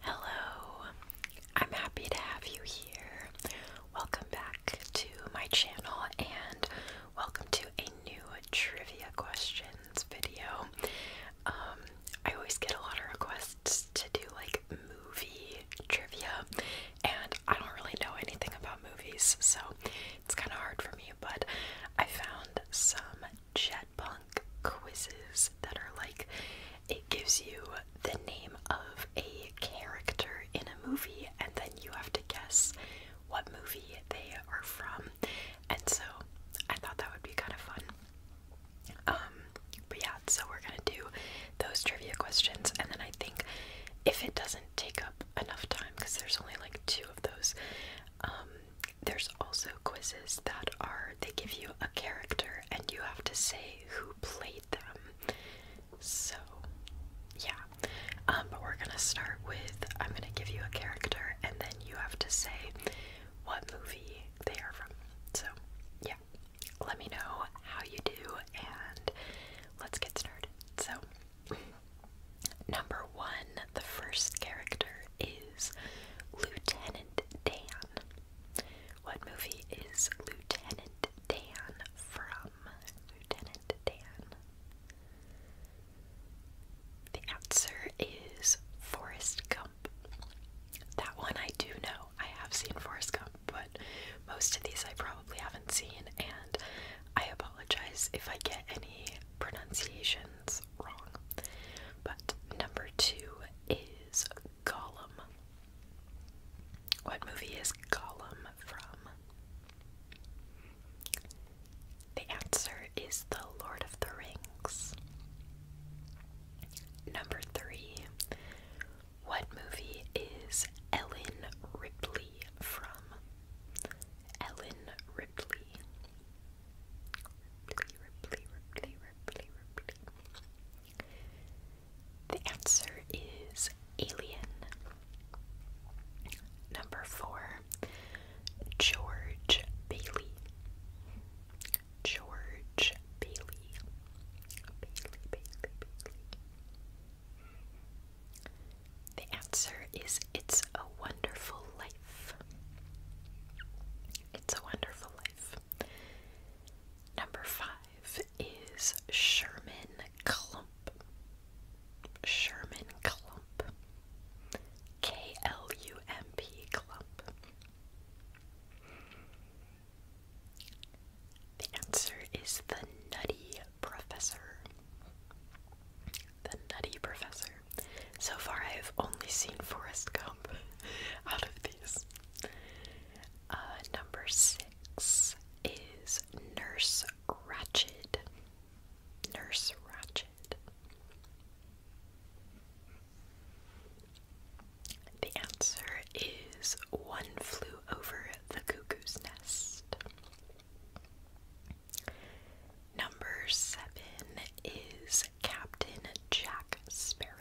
Hello, I'm happy to have you here. Welcome back to my channel and welcome to a new trivia questions video. Um, I always get a lot of requests to do like movie trivia, and I don't really know anything about movies, so it's kind of hard for me, but I found some jet quizzes that are like it gives you the name of a character in a movie, and then you have to guess what movie they are from. And so I thought that would be kind of fun. Um, but yeah, so we're gonna do those trivia questions, and then I think if it doesn't take up enough time, because there's only like two of those, um, there's also quizzes that are they give you a character and you have to say who played them. So, yeah. Um, but we're gonna start with I'm gonna give you a character and then you have to say what movie they are from. So, yeah. Let me know how you do and let's get started. So, number one, the first character is Lieutenant Dan. What movie is Lieutenant Dan from? Lieutenant Dan. The answer is Forrest Gump. That one I do know. I have seen Forrest Gump, but most of these I probably haven't seen, and I apologize if I get any pronunciations wrong. But number two is Gollum? What movie is Gollum from? The answer is The Lord of the Rings. Number three. What movie is Ellen Ripley from? Ellen Ripley. Ripley, the answer is Alien. Number four, George Bailey. George Bailey. Bailey, Bailey, Bailey. The answer is It's a Wonderful Life. It's a Wonderful Life. Number five is Sherman Clump. Sherman Clump. K L U M P Clump. The answer is the Nutty Professor. The Nutty Professor. So far, I have only seen Forrest Gump out of the. Uh, number six is Nurse Ratchet. Nurse Ratchet. The answer is One Flew Over the Cuckoo's Nest. Number seven is Captain Jack Sparrow.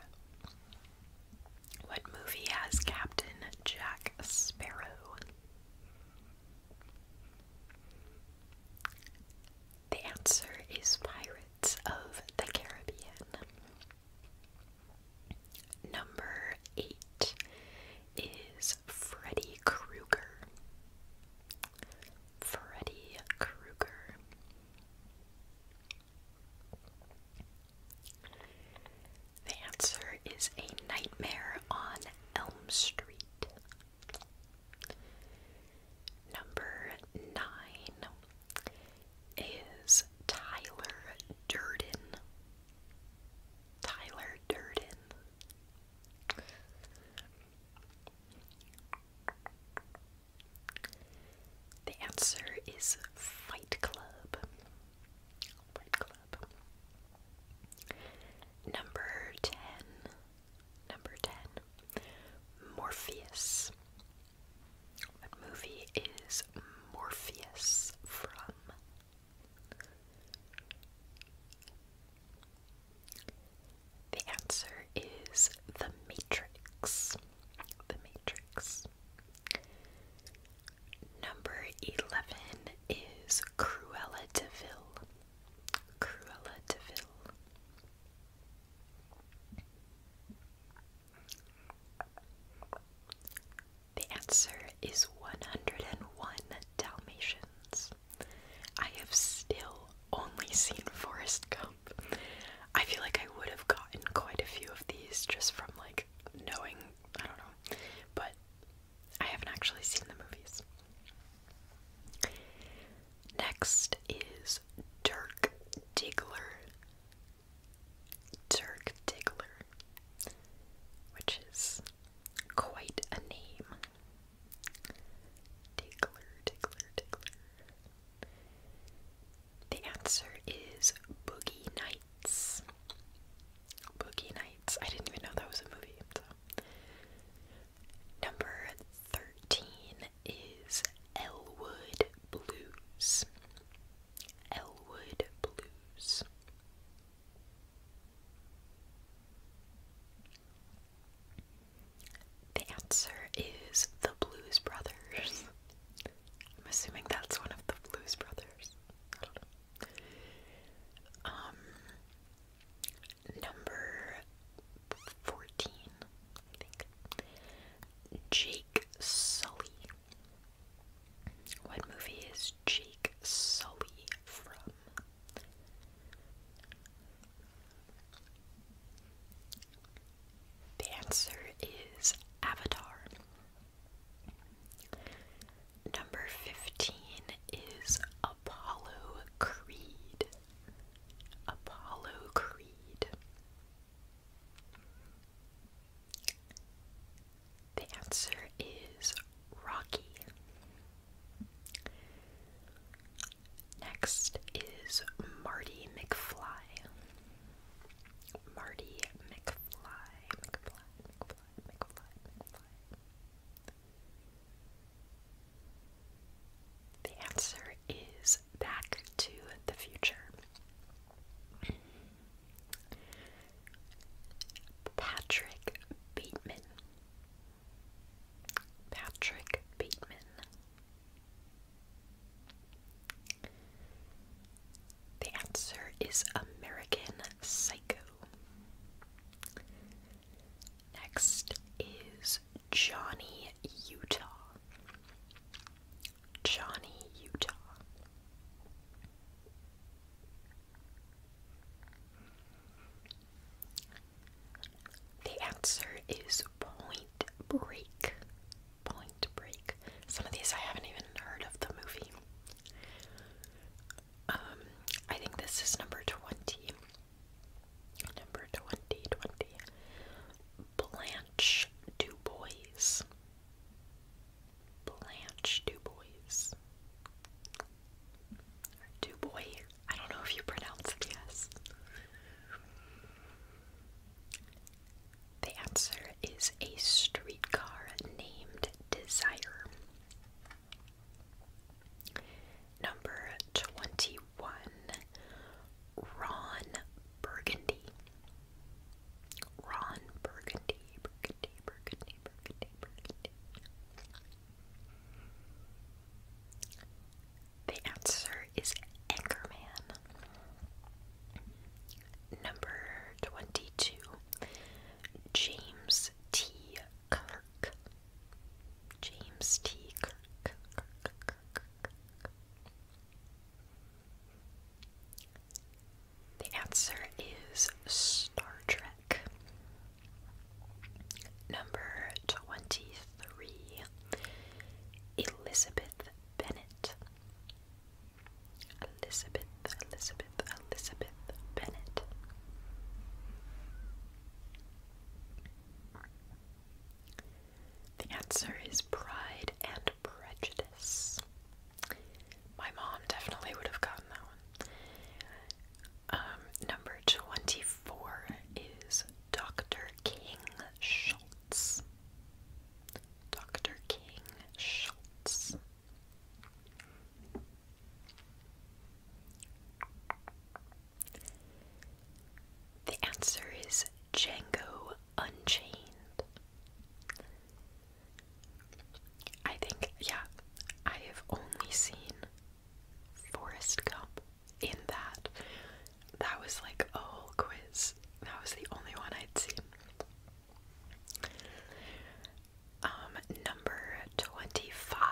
What movie has Captain Jack Sparrow? The answer is Pirates of the Caribbean. Number eight is Freddy Krueger. Freddy Krueger. The answer is A Nightmare on Elm Street. Number nine is Tyler Durden. Tyler Durden. The answer is Fight Club. Number 10. Number 10. Morpheus. What movie is Morpheus from? The answer is The Matrix. The Matrix. Number 11 is Cruella de Cruella de The answer is 101 Dalmatians. I have still only seen Forrest Gump. I feel like I would have gotten quite a few of these just from like knowing, I don't know, but I haven't actually seen the movies. Next is Dirk Diggler. Dirk Diggler, which is quite a name. Diggler, Diggler, Diggler. The answer is Boogie Nights. Boogie Nights. I didn't even know that was a movie. Number 13 is Elwood Blues. Elwood Blues. The answer is the Blues Brothers. I'm assuming that's one of the Blues Brothers. Um, number 14, I think. Jake Sully. What movie is Jake Sully from? The answer is Avatar. Number 15 is Apollo Creed. Apollo Creed. The answer is Rocky. Next is Marty McFly. Marty McFly, The answer is Back to the Future. Patrick Bateman. Patrick Bateman the answer is American Psycho. Next is Johnny Utah. Johnny Utah. The answer is Point Break. Point Break. Some of these I haven't even heard of the movie. Um, I think this is number 20. Number 20, Blanche Du Blanche Du Bois. I don't know if you pronounce it yes. The answer is a streetcar named Desire. Number 21 Ron Burgundy. Ron Burgundy, Burgundy, Burgundy, Burgundy, Burgundy. The answer is Anchorman. Number 22. James T. Kirk. James T. Kirk. The answer is Star Trek. Number 23 three Elizabeth Bennet. Elizabeth, Elizabeth, Elizabeth Bennett. The answer is Pride and Prejudice. My mom definitely would have gotten that one. Um, number 25 four is Dr. King Schultz. Dr. King Schultz. The answer is Django Unchained. I think, yeah, I have only seen Forest Gump in that. That was like a whole quiz. That was the only one I'd seen. Um, number 25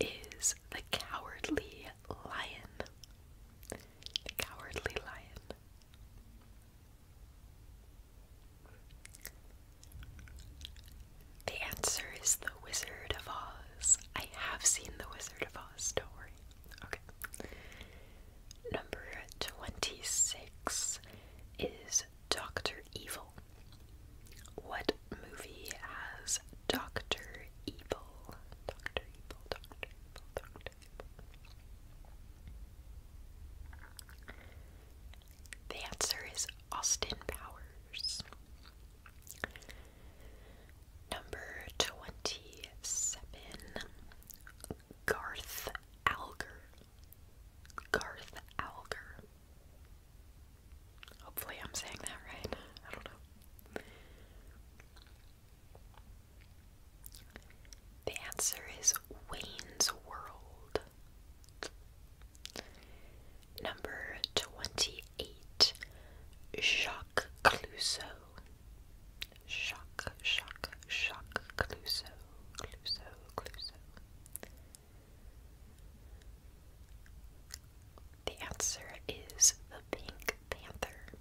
is The Cowardly Lion. The Cowardly Lion. The answer is The Wizard of Oz. I have seen The Wizard of Oz, don't worry. Okay. Number 26 is Dr. Evil. What movie has Dr. Evil? Dr. Evil, Dr. Evil, Dr. Evil. The answer is Austin Powers. Number 27 Garth Alger. Garth Alger. Hopefully, I'm saying that right. I don't know. The answer is Wayne's World. Number 28 Jacques Jacques Clouseau. Jacques, Jacques, Jacques Clouseau, Clouseau, The answer is the Pink Panther.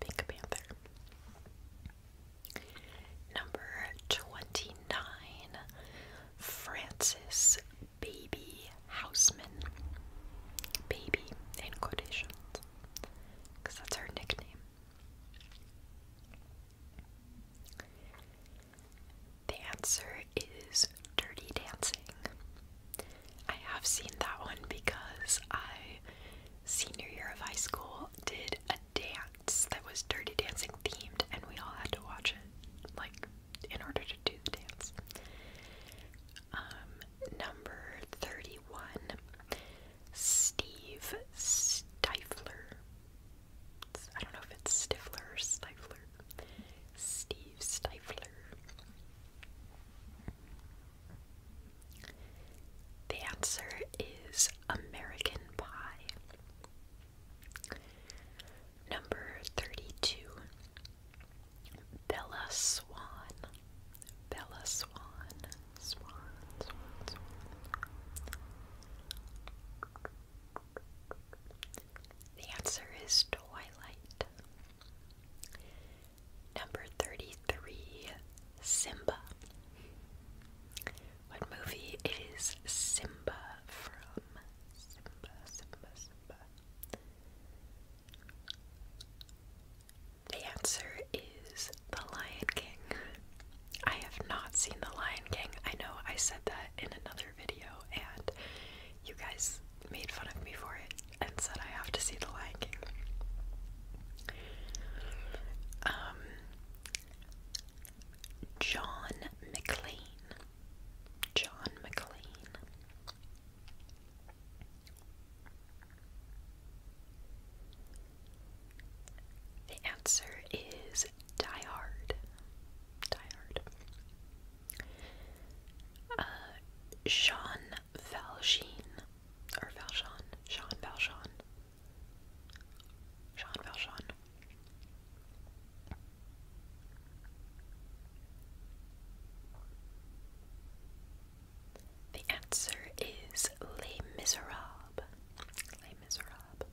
Pink Panther. Number 29, Francis Baby Houseman. Baby in quotations. Because that's her nickname. The answer is Dirty Dancing. I have seen that one because I, senior year of high school, did a dance that was Dirty Dancing themed, and we all had to watch it, like, in order to do the dance. Um, Number 31 Steve Stifler. I don't know if it's Stifler Stifler. Steve Stifler. The answer is American Pie. Number 32 Bella Swan. Bella Swan. Swan, The answer is Twilight. Number 33, Simba. What movie is Simba from? Simba, Simba, Simba. The answer is The Lion King. I have not seen The Lion King. I know I said that in another video, and you guys made fun of me for it and said I have to see The Lion King. Um, John McLean. John McLean. The answer is Die Hard. Die Hard. Uh, Jean Valjean, or Valjean, Jean Valjean, Jean Valjean. The answer is Les Miserables. Les Miserables.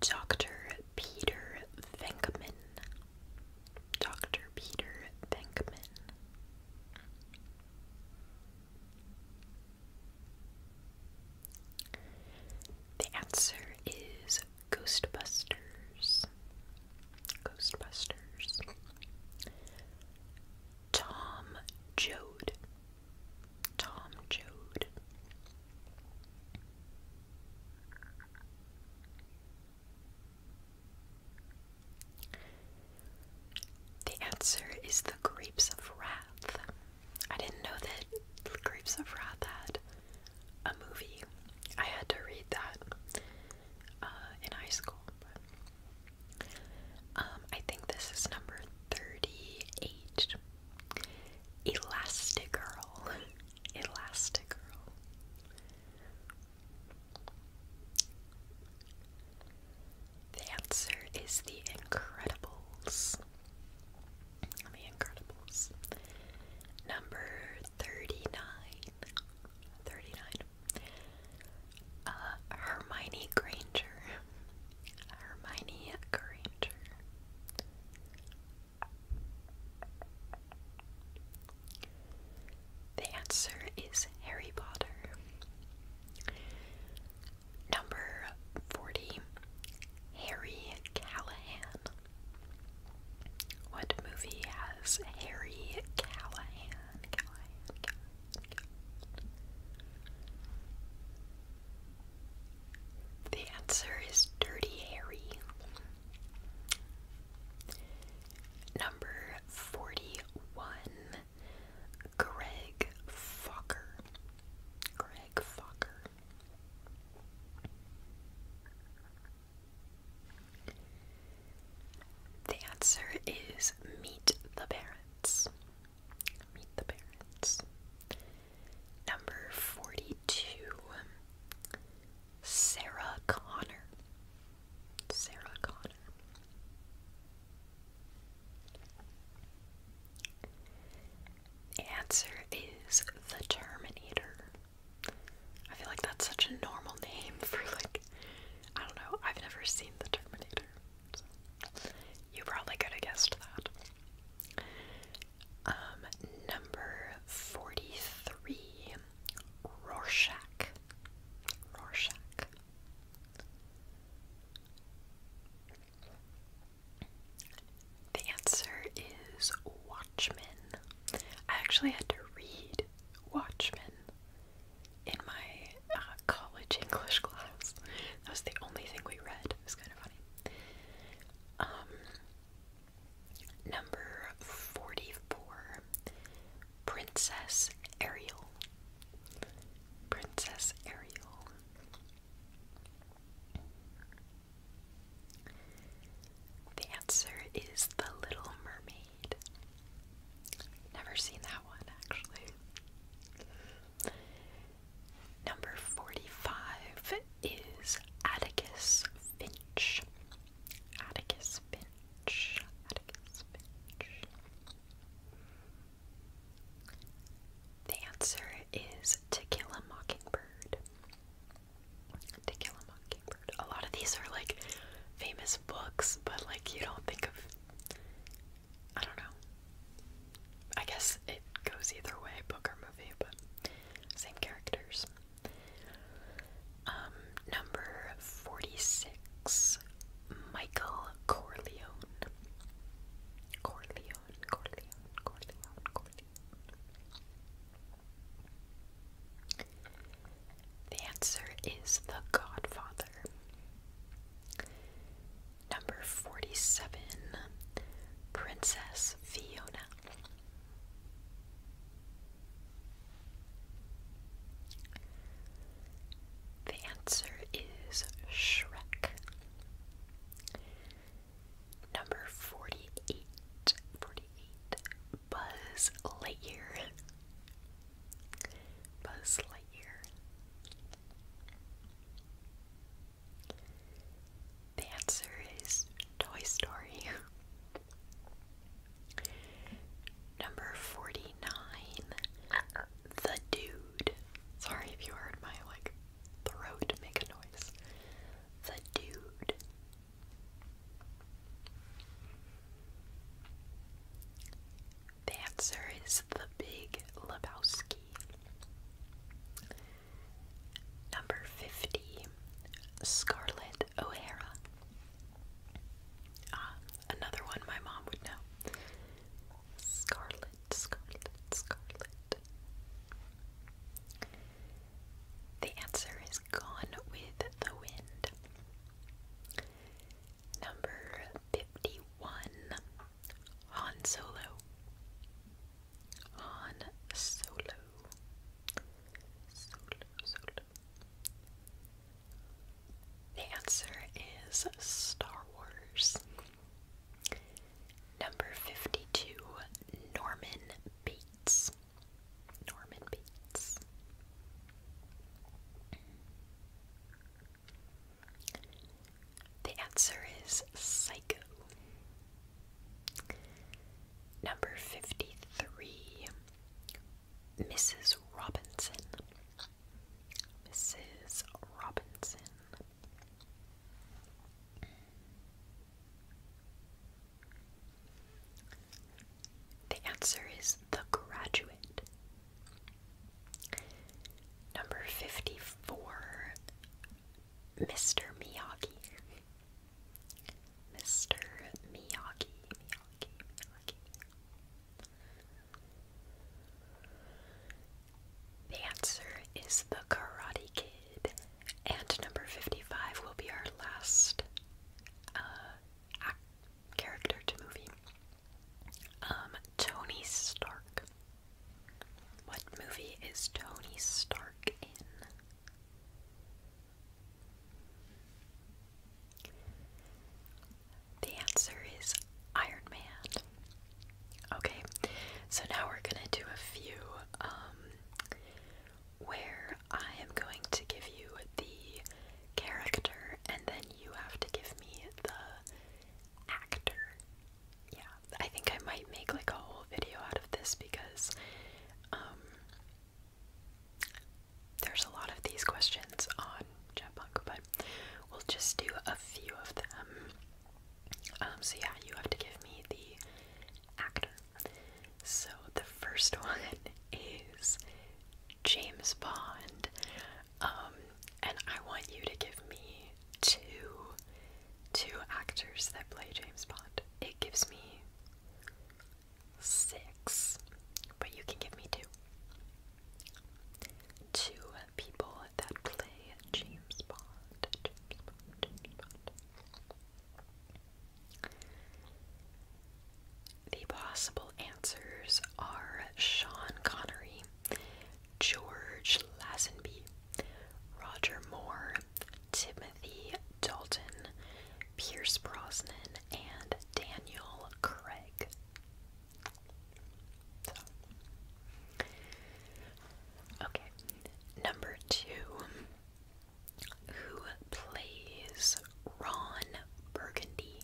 Dr. Peter Venkman. Dr. Peter Venkman. The answer is Ghostbusters. Ghostbusters. Tom Joad. Tom Joad. The answer is the Grapes of Wrath. I didn't know that Grapes of Wrath had a movie. I had to read that uh, in high school. Um, I think this is number 38. Elastic Girl, Elastic Girl. The answer is The Incredibles. The Incredibles. Number 39. 39. Uh, Hermione Granger. Hermione Granger. The answer is Harry Potter. Number 40. Harry Callahan. What movie has Harry Callahan? The answer is Dirty Harry. Number 41, Greg Fokker. Greg Fokker. The answer is meet the parents. Meet the parents. Number 42. Sarah Connor. Sarah Connor. The answer is The Terminator. I feel like that's such a normal name for like I don't know, I've never seen the Terminator. you probably could have guessed that. Um, number forty-three Rorschach. Rorschach. The answer is Watchmen. I actually had to read Watchmen in my uh, college English class. That was the only thing we read. It was kind of funny. Um, number 44 Princess Ariel. Princess Ariel. The answer is The Little Mermaid. Never seen that one, actually. Number 45 is Atticus Finch. Atticus Finch. Atticus Finch. The answer is To Kill a Mockingbird. To Kill a Mockingbird. A lot of these are like famous books, but like you don't think of. I don't know. I guess it goes either way, book or movie, but same characters. Um, number 46, Michael Corleone. Corleone, Corleone, Corleone, Corleone, Corleone. The answer is The Godfather. Number 47 Princess Fiona. The answer is Shrek. Number 48. Buzz Lightyear. Buzz Lightyear. The answer is Toy Story. Number 49. The Dude. Sorry if you heard my like throat make a noise. The Dude. The answer is the Big Lebowski. Number 50, Scarlett O'Hara. Ah, another one my mom would know. Scarlet, Scarlet, Scarlet. The answer is Gone with the Wind. Number 51 Han Solo. Han Solo. Solo, Solo. The answer is Star Wars. Number 52 Norman Bates. Norman Bates. The answer is Psycho. Number 53. Mrs. Robinson. Mrs. Robinson. The answer is The Graduate. Number 54 Mr. Miyagi. Mr. Miyagi, Miyagi, Miyagi. The answer is The Karate Kid. And number 55 will be our last uh, character to movie. Um, Tony Stark. What movie is Tony Stark in? The answer is Iron Man. Okay, so now we're gonna do a few um, where I am going to give you the character and then you have to give me the actor. Yeah, I think I might make like a whole video out of this because um, there's a lot of these questions on Jetpunk, but we'll just do a few of them. Um, so yeah, you have to give me the actor. So the first one is James Bond. Um, and I want you to give me two two actors that play James Bond. It gives me six, but you can give me two. Two people that play James Bond. The possible answers are Sean Connery, George Lazenby, Roger Moore, Timothy Dalton, Pierce Brosnan, and Daniel Craig. Okay, number two who plays Ron Burgundy.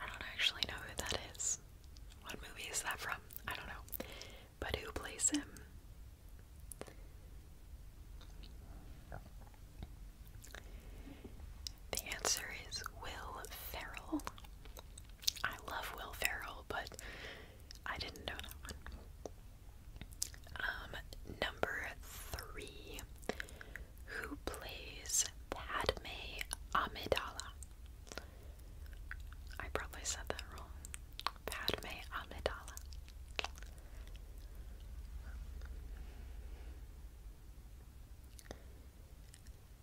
I don't actually know who that is. What movie is that from? I don't know. But who plays him? The answer is Will Ferrell. I love Will Ferrell, but I didn't know that one. Um, number three. Who plays Padme Amidala? I probably said that wrong. Padme Amidala.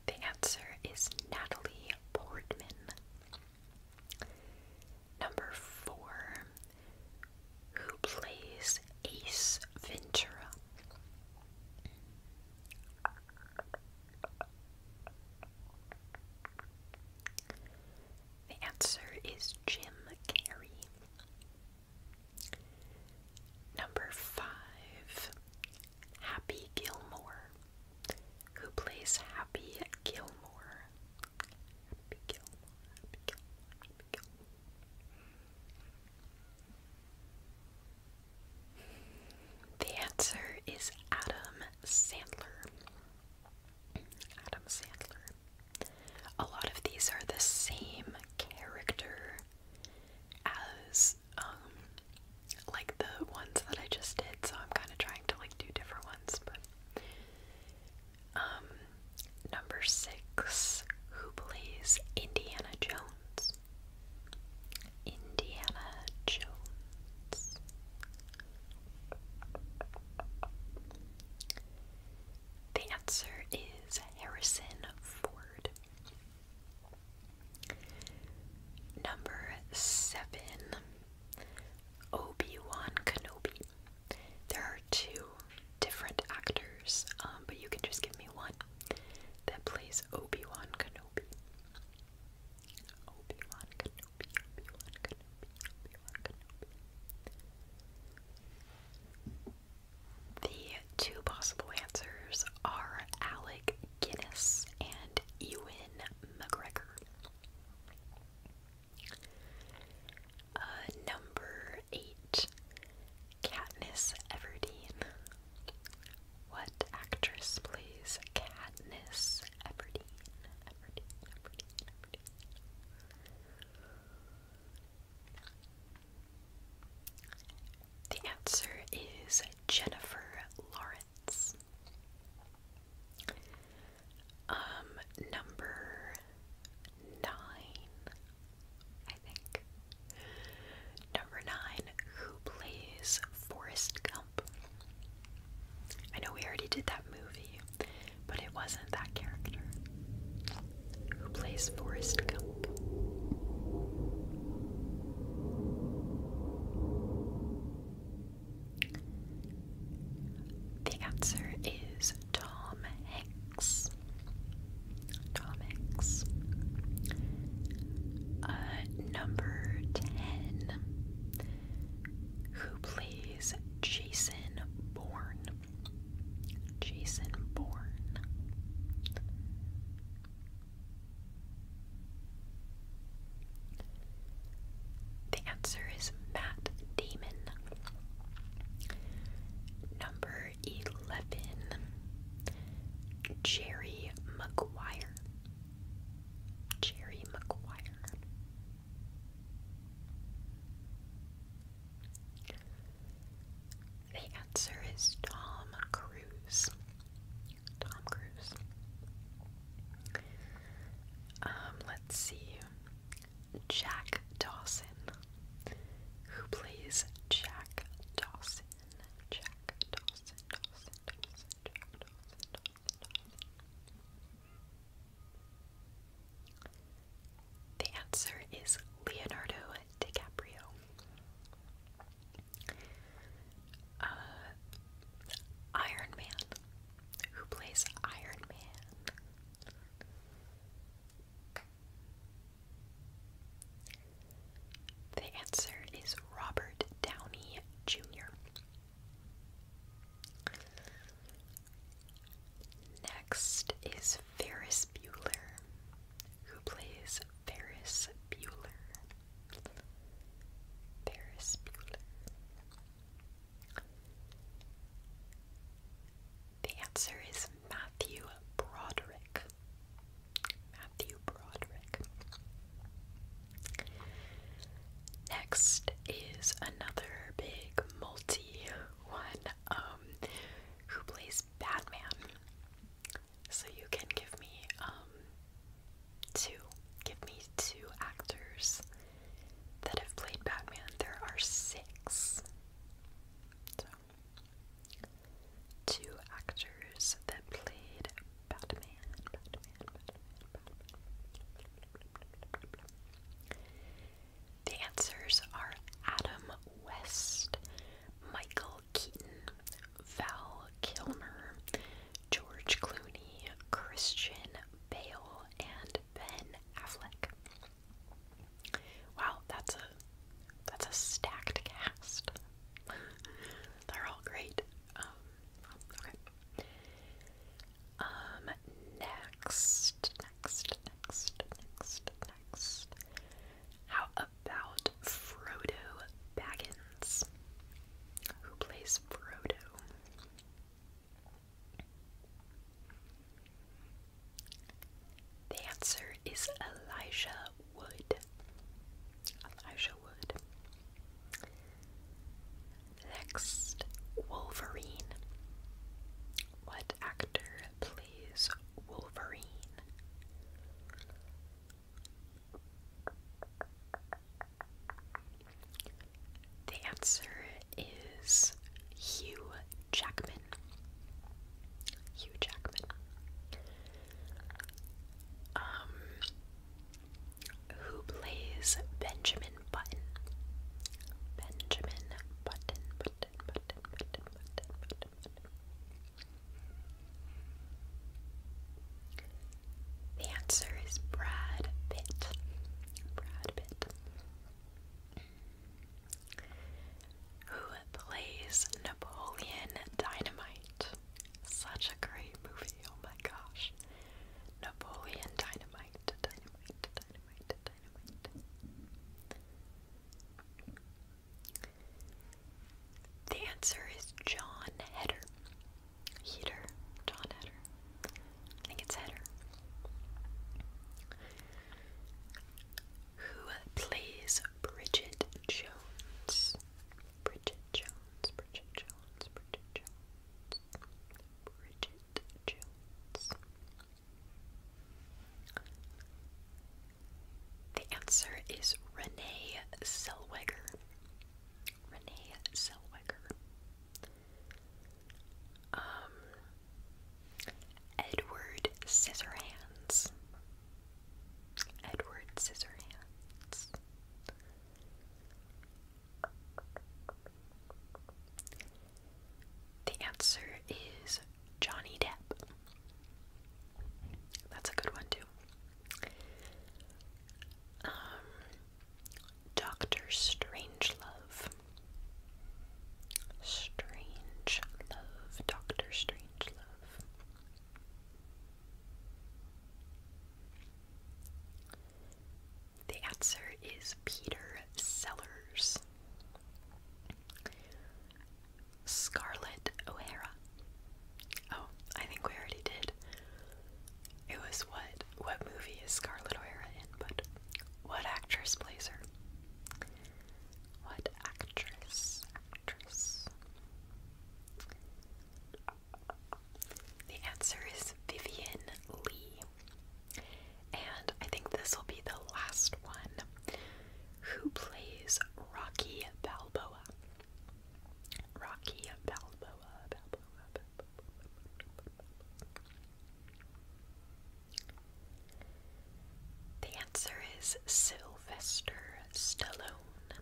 The answer is Natalie Portman. Number four, who plays Ace Ventura? The answer is Jim Carrey. Number five, Happy Gilmore who plays Happy Gilmore. Gilmore, The answer is Adam Sandler. Adam Sandler. A lot of these are the same character as um like the ones that I just did so I'm kind of trying to like do different ones, but um, number 6 who plays Indiana Jones? Indiana Jones. The answer is Harrison Ford. Number seven. Obi-Wan Kenobi. There are two different actors, um, but you can just give me one that plays Obi-Wan Kenobi. Obi-Wan Kenobi, Obi-Wan Kenobi. The two possible answers are Alec Guinness and Ewan McGregor. Uh, number eight, Katniss Everdeen. What actress plays Katniss Everdeen. The answer is Jennifer Lawrence. Um, number nine, I think. Number nine, who plays Forest Gump? I know we already did that movie, but it wasn't that character. Who plays Forest Gump? The answer is Tom Hanks. Tom Hanks. Uh, number 10. Who plays Jason Bourne? Jason Bourne. The answer is Matt Damon. Number 11, Jerry McGuire. Jerry McGuire. The answer is Tom Cruise. Tom Cruise. Um, let's see. Jack Dawson. Who plays Jack Dawson? Jack Dawson, Dawson, Dawson, Jack Dawson, Dawson, Dawson. The answer is Leonardo DiCaprio. Uh, Iron Man who plays Iron Man. The answer is Robert Downey Jr. Next is Ferris Bueller, who plays Ferris Bueller. Ferris Bueller. The answer is Matthew Broderick. Matthew Broderick. Next is another big multi one um, who plays Batman. So you can give me um, Two. Give me two actors that have played Batman. There are six. two actors that played Batman. The answers are Adam West, Michael Keaton, Val Kilmer, George Clooney, Christian Bale, and Ben Affleck. Wow, that's a that's a stacked cast. They're all great. Um, okay. Um, next, next, next, next, next. How about Frodo Baggins? who plays Brodo? The answer is Elijah Wood. Elijah Wood. Next, Wolverine. What actor plays Wolverine? The answer is Hugh Jackman. Hugh Jackman. Um, who plays Benjamin Button? Benjamin Button, Button. The answer is Brad Pitt. Brad Pitt. Who plays Napoleon Dynamite? Such a great movie, oh my gosh. Napoleon Dynamite, Dynamite, Dynamite, Dynamite. The answer is John Hedder. Heater, John Header. I think it's Header. Who plays Bridget Jones? Bridget Jones, Bridget Jones, Bridget Jones, Bridget Jones. The answer is Renee Zellweger. Renee Zellweger, um, Edward Scissorhands, Edward Scissorhands, the answer is Johnny Depp. That's a good one, too. Um, Doctor Strangelove. Strange Love. Doctor Strangelove. The answer is Peter Sellers. Scarlett O'Hara. Oh, I think we already did. It was what what movie is Scarlett O'Hara in, but what actress plays her? What actress? Actress. The answer is Vivian Lee. And I think this will be the last one. Who plays Rocky Balboa? Rocky Balboa, Balboa, The answer is Sylvester Stallone.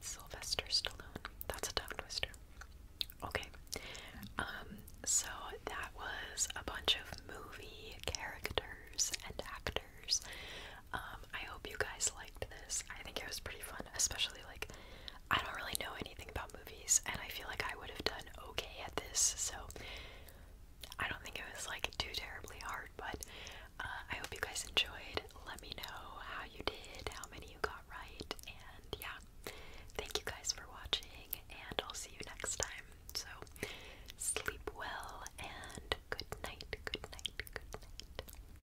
Sylvester Stallone. That's a tongue twister. Okay. Um, so that was a bunch of movie characters and actors. Um, I hope you guys liked this. I think it was pretty fun, especially like I don't really know anything about movies, and I feel like I would have done okay at this, so I don't think it was like too terribly hard, but uh, I hope you guys enjoyed. Let me know how you did, how many you got right, and yeah, thank you guys for watching, and I'll see you next time. So, sleep well, and good night, good night, good night.